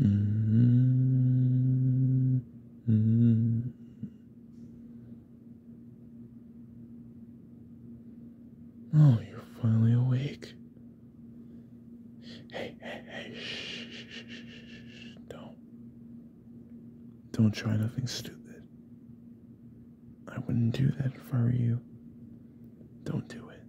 Mm-hmm. Oh, you're finally awake. Hey, hey, hey, shh, shh, shh, shh, don't. Don't try nothing stupid. I wouldn't do that if I were you. Don't do it.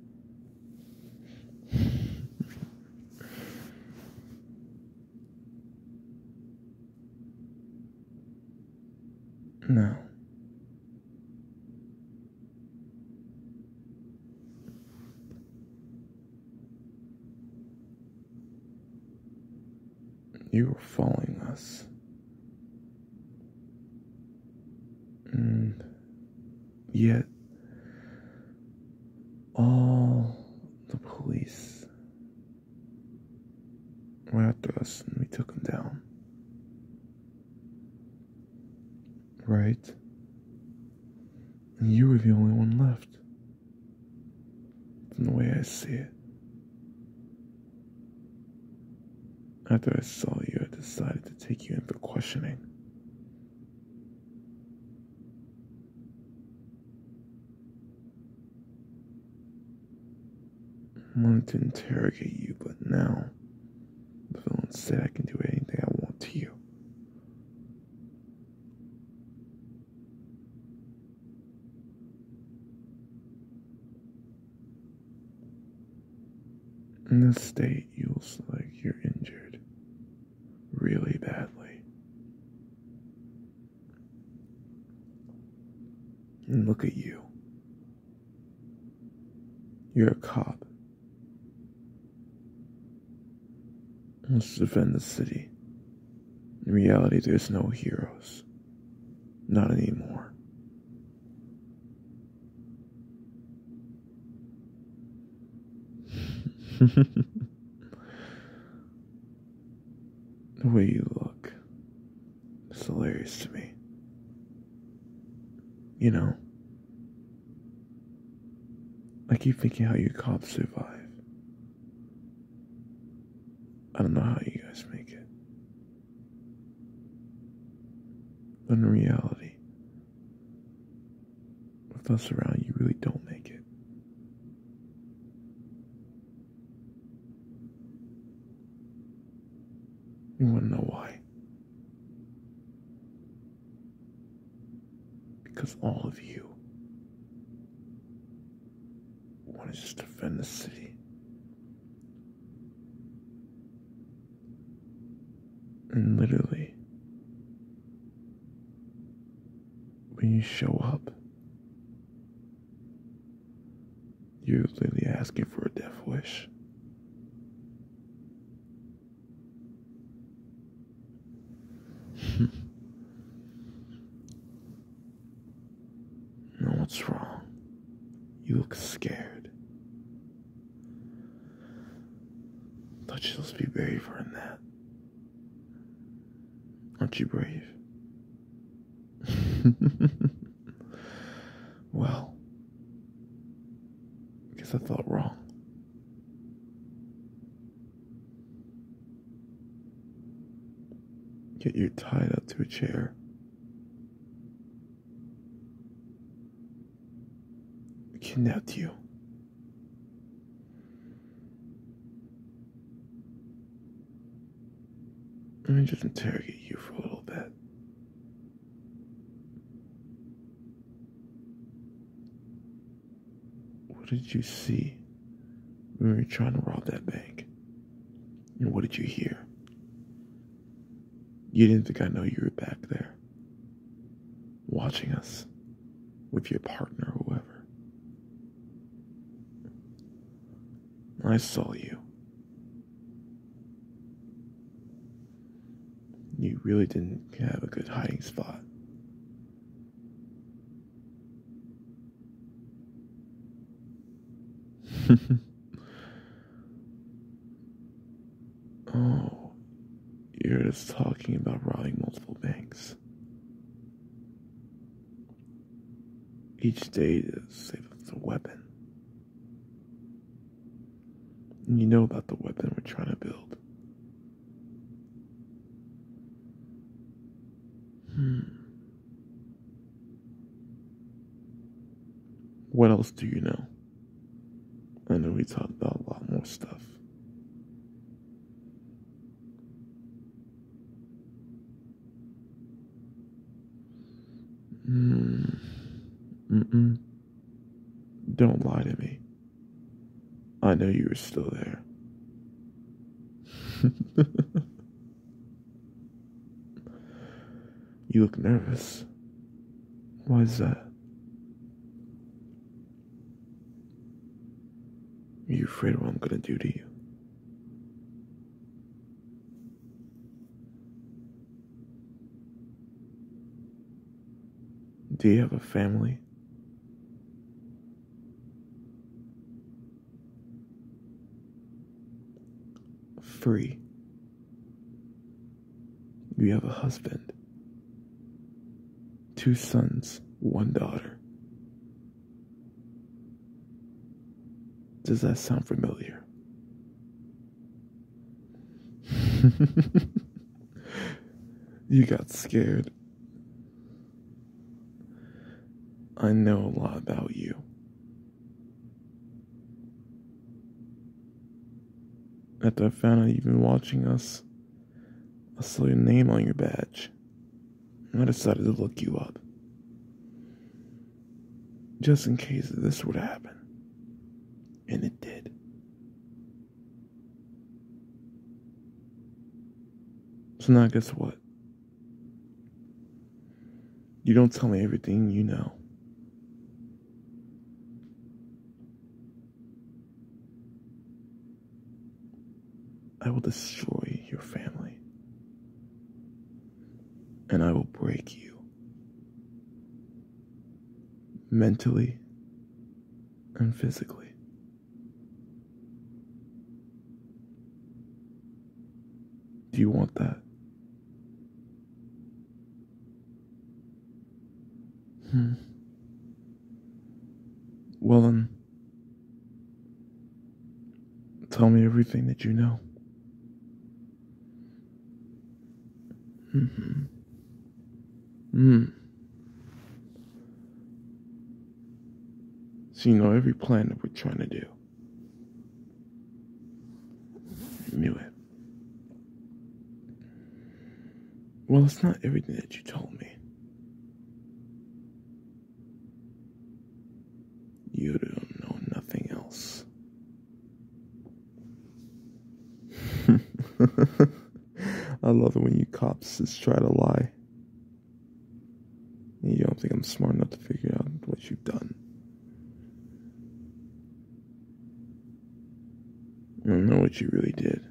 No. You were following us. And yet, all the police were after us and we took them down. Right? And you were the only one left. From the way I see it. After I saw you, I decided to take you in for questioning. I wanted to interrogate you, but now the villain said I can do anything I want to you. In this state, you look like you're injured really badly. And look at you. You're a cop. Let's defend the city. In reality, there's no heroes. Not anymore. the way you look is hilarious to me. You know, I keep thinking how you cops survive. I don't know how you guys make it. Unreality with us around, you really don't make it. You want to know why? Because all of you want to just defend the city. And literally, when you show up, you're literally asking for a death wish. no, what's wrong? You look scared. Thought you're supposed to be braver than that. Aren't you brave? well, guess I thought wrong. Get you tied up to a chair. Can I kidnapped you. Let me just interrogate you for a little bit. What did you see when you were trying to rob that bank? And what did you hear? You didn't think I know you were back there watching us with your partner or whoever. I saw you. You really didn't have a good hiding spot. Oh, you're just talking about robbing multiple banks. Each day to save up the weapon. You know about the weapon we're trying to build. Hmm. What else do you know? I know we talked about a lot more stuff. Mm. mm Don't lie to me. I know you were still there. You look nervous. Why is that? Are you afraid of what I'm gonna do to you? Do you have a family? Free. You have a husband, two sons, one daughter. Does that sound familiar? you got scared. I know a lot about you. At the found you've been watching us, I saw your name on your badge, and I decided to look you up. Just in case this would happen. And it did. So now guess what? You don't tell me everything you know. I will destroy your family. And I will break you. Mentally and physically. Do you want that? Hmm. Well, then, tell me everything that you know. mm Mm. So you know every plan that we're trying to do. You knew it. Well, it's not everything that you told me. You don't know nothing else. I love it when you cops just try to lie. You don't think I'm smart enough to figure out what you've done. I don't know what you really did.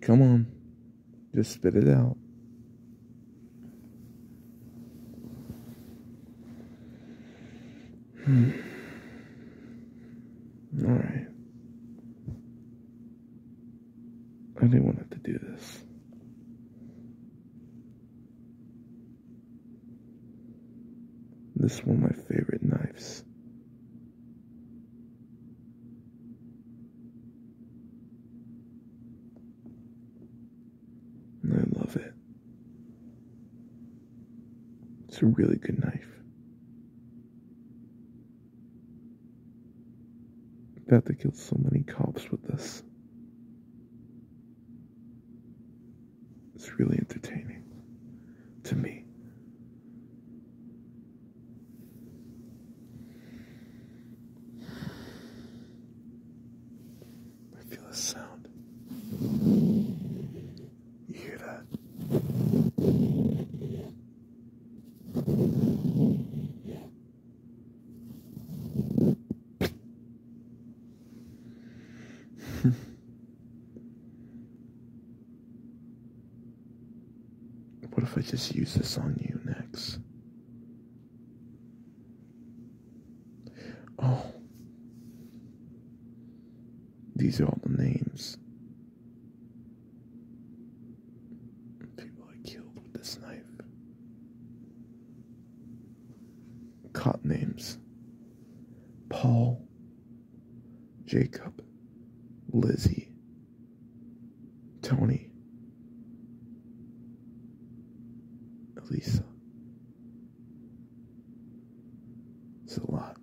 Come on. Just spit it out. Hmm. All right. I didn't want to do this. This one of my favorite knives. I love it. It's a really good knife. About to kill so many cops with this. It's really entertaining to me. I feel a sound. You hear that? what if I just use this on you next? Oh. These are all the names. People I killed with this knife. Cot names Paul, Jacob, Lizzie, Tony, Lisa. It's a lot.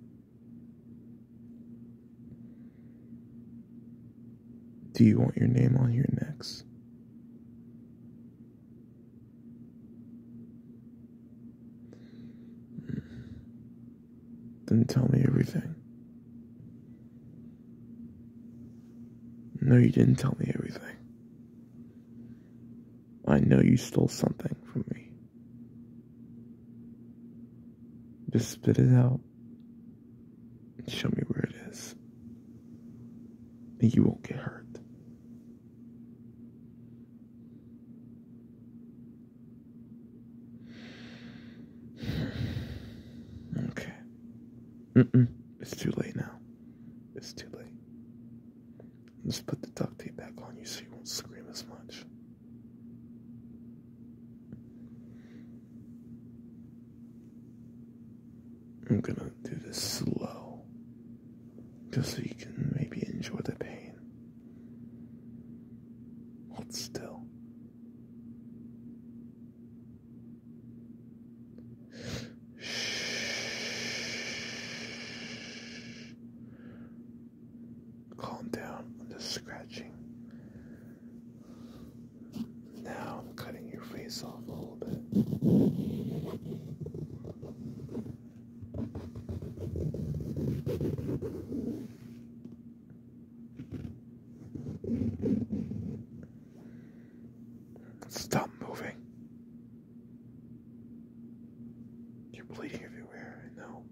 Do you want your name on your next? Didn't tell me everything. No, you didn't tell me everything. I know you stole something from me. Just spit it out. Show me where it is. And you won't get hurt. Okay. It's too late now. It's too late. Just put the duct tape back on you so you won't scream as much. I'm gonna do this slow, just so you can maybe enjoy the pain. Hold still. Calm down. I'm just scratching. Now I'm cutting your face off a little bit. Stop moving. You're bleeding everywhere, I know,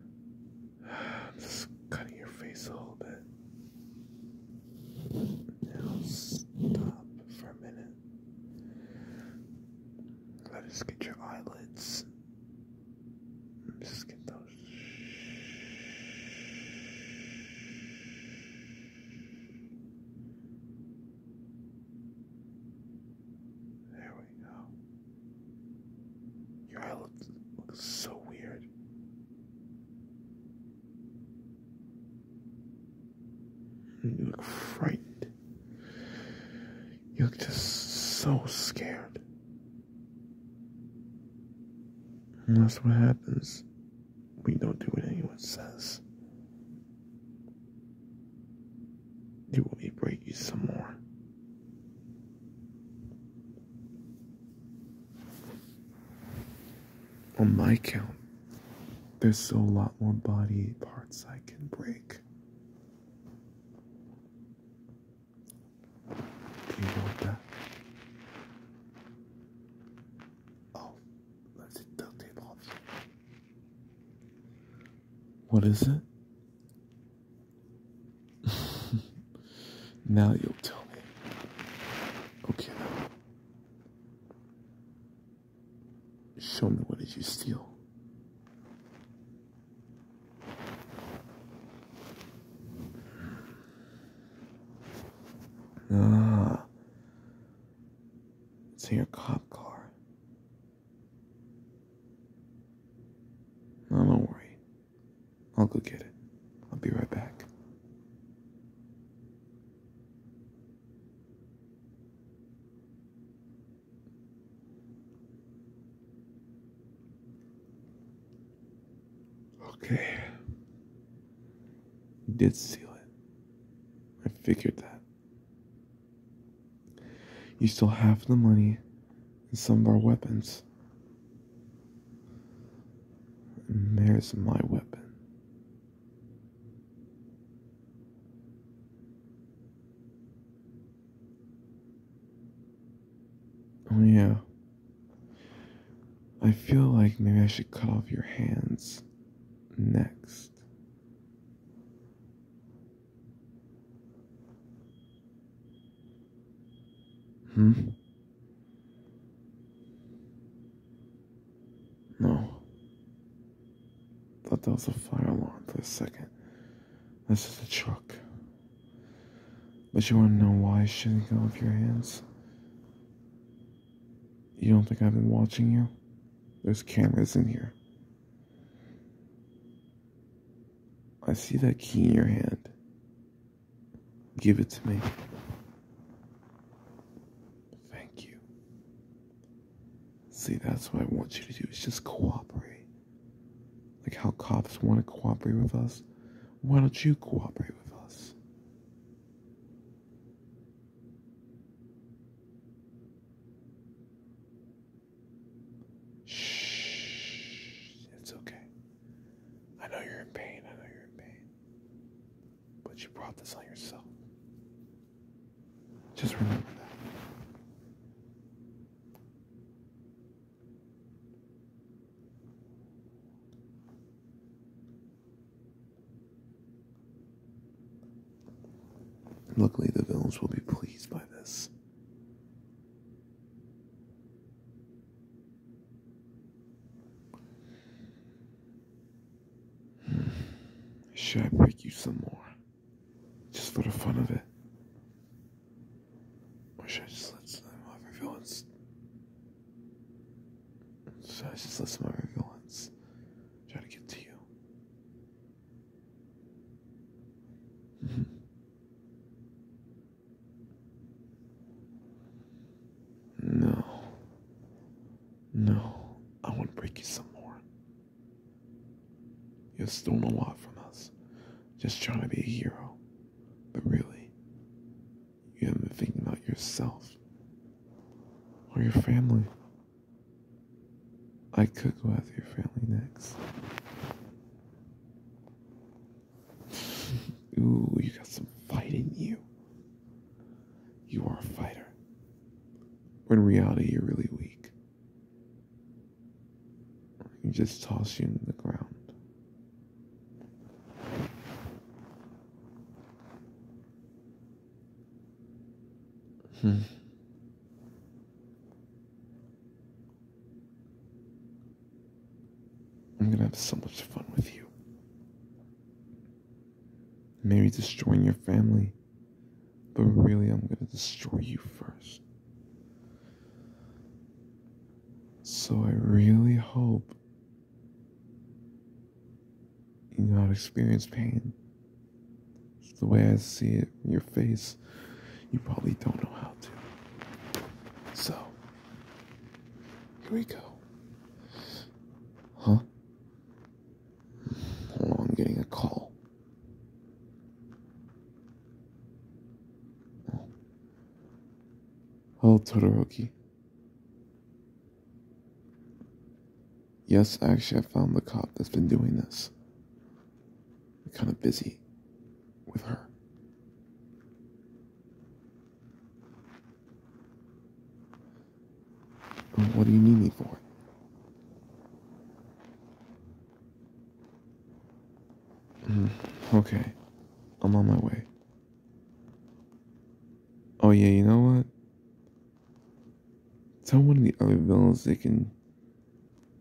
I'm just cutting your face a little bit. Now stop for a minute. Let us get your eyelids. Just get those. There we go. Your eyelids look so weird. You look frightened. You look just so scared. And that's what happens. We don't do what anyone says. You will be breaking some more on my count, there's still a lot more body parts I can break. you want that? Oh, let's take duct tape off. What is it? now you'll tell me. Okay, Show me what did you steal? Ah, it's in your cop car. No, don't worry. I'll go get it. I'll be right back. Okay. He did steal it. I figured that. You stole half the money and some of our weapons. And there's my weapon. Oh, yeah. I feel like maybe I should cut off your hands next. Hmm? No. Thought that was a fire alarm for a second. That's just a truck. But you wanna know why you shouldn't go with your hands? You don't think I've been watching you? There's cameras in here. I see that key in your hand. Give it to me. Thank you. See, that's what I want you to do is just cooperate. Like how cops want to cooperate with us. Why don't you cooperate with us? Shh, it's okay. I know you're in pain. I know you're in pain. But you brought this on yourself. Just remember that. Luckily, the villains will be pleased by this. Should I break you some more? Just for the fun of it? should I just let some of my violence? Should I just let some of my violence try to get to you? No. No. I want to break you some more. You've stolen a lot from us. Just trying to be a hero. But really, you haven't been thinking about yourself or your family. I could go after your family next. Ooh, you got some fight in you. You are a fighter. But in reality, you're really weak. You just toss you in the ground. Hmm. I'm gonna have so much fun with you. Maybe destroying your family, but really, I'm gonna destroy you first. So, I really hope you not experience pain. It's the way I see it, your face you probably don't know how to. So, here we go. Huh? Oh, I'm getting a call. Oh, Hello, Todoroki. Yes, actually, I found the cop that's been doing this kind of busy with her. What do you need me for? Mm, okay, I'm on my way. Oh, yeah, you know what? Tell one of the other villains they can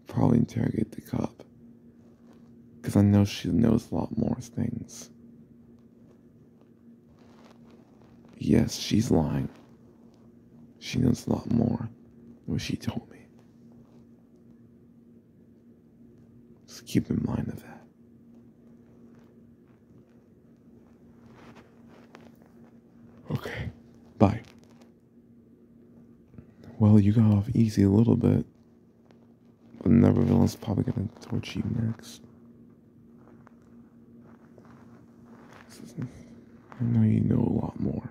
probably interrogate the cop. Because I know she knows a lot more things. Yes, she's lying. She knows a lot more than what she told me. Just keep in mind of that. Okay. Bye. Well, you got off easy a little bit. But another is probably gonna torch you next. I know you know a lot more.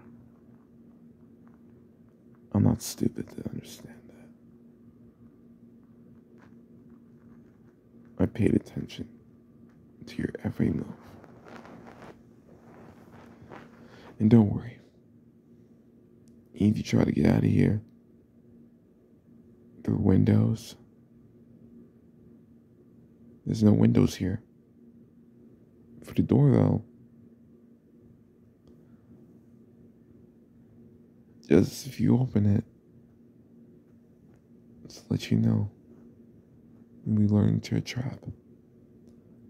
I'm not stupid to understand that. I paid attention to your every move. And don't worry, if you try to get out of here through windows, there's no windows here. For the door, though, just if you open it, just let you know we learned to trap.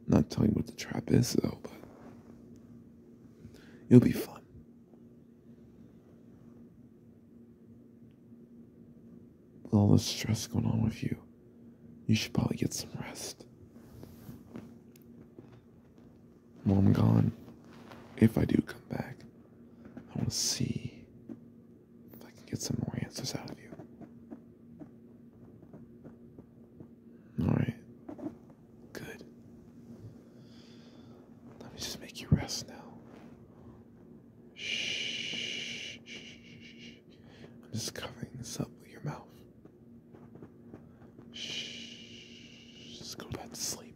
I'm not telling you what the trap is though, but you will be fine. With all the stress going on with you, you should probably get some rest. While I'm gone, if I do come back, I want to see if I can get some more answers out of you. All right. Good. Let me just make you rest now. Shh. I'm just covering this up with your mouth. Shh. Just go back to sleep.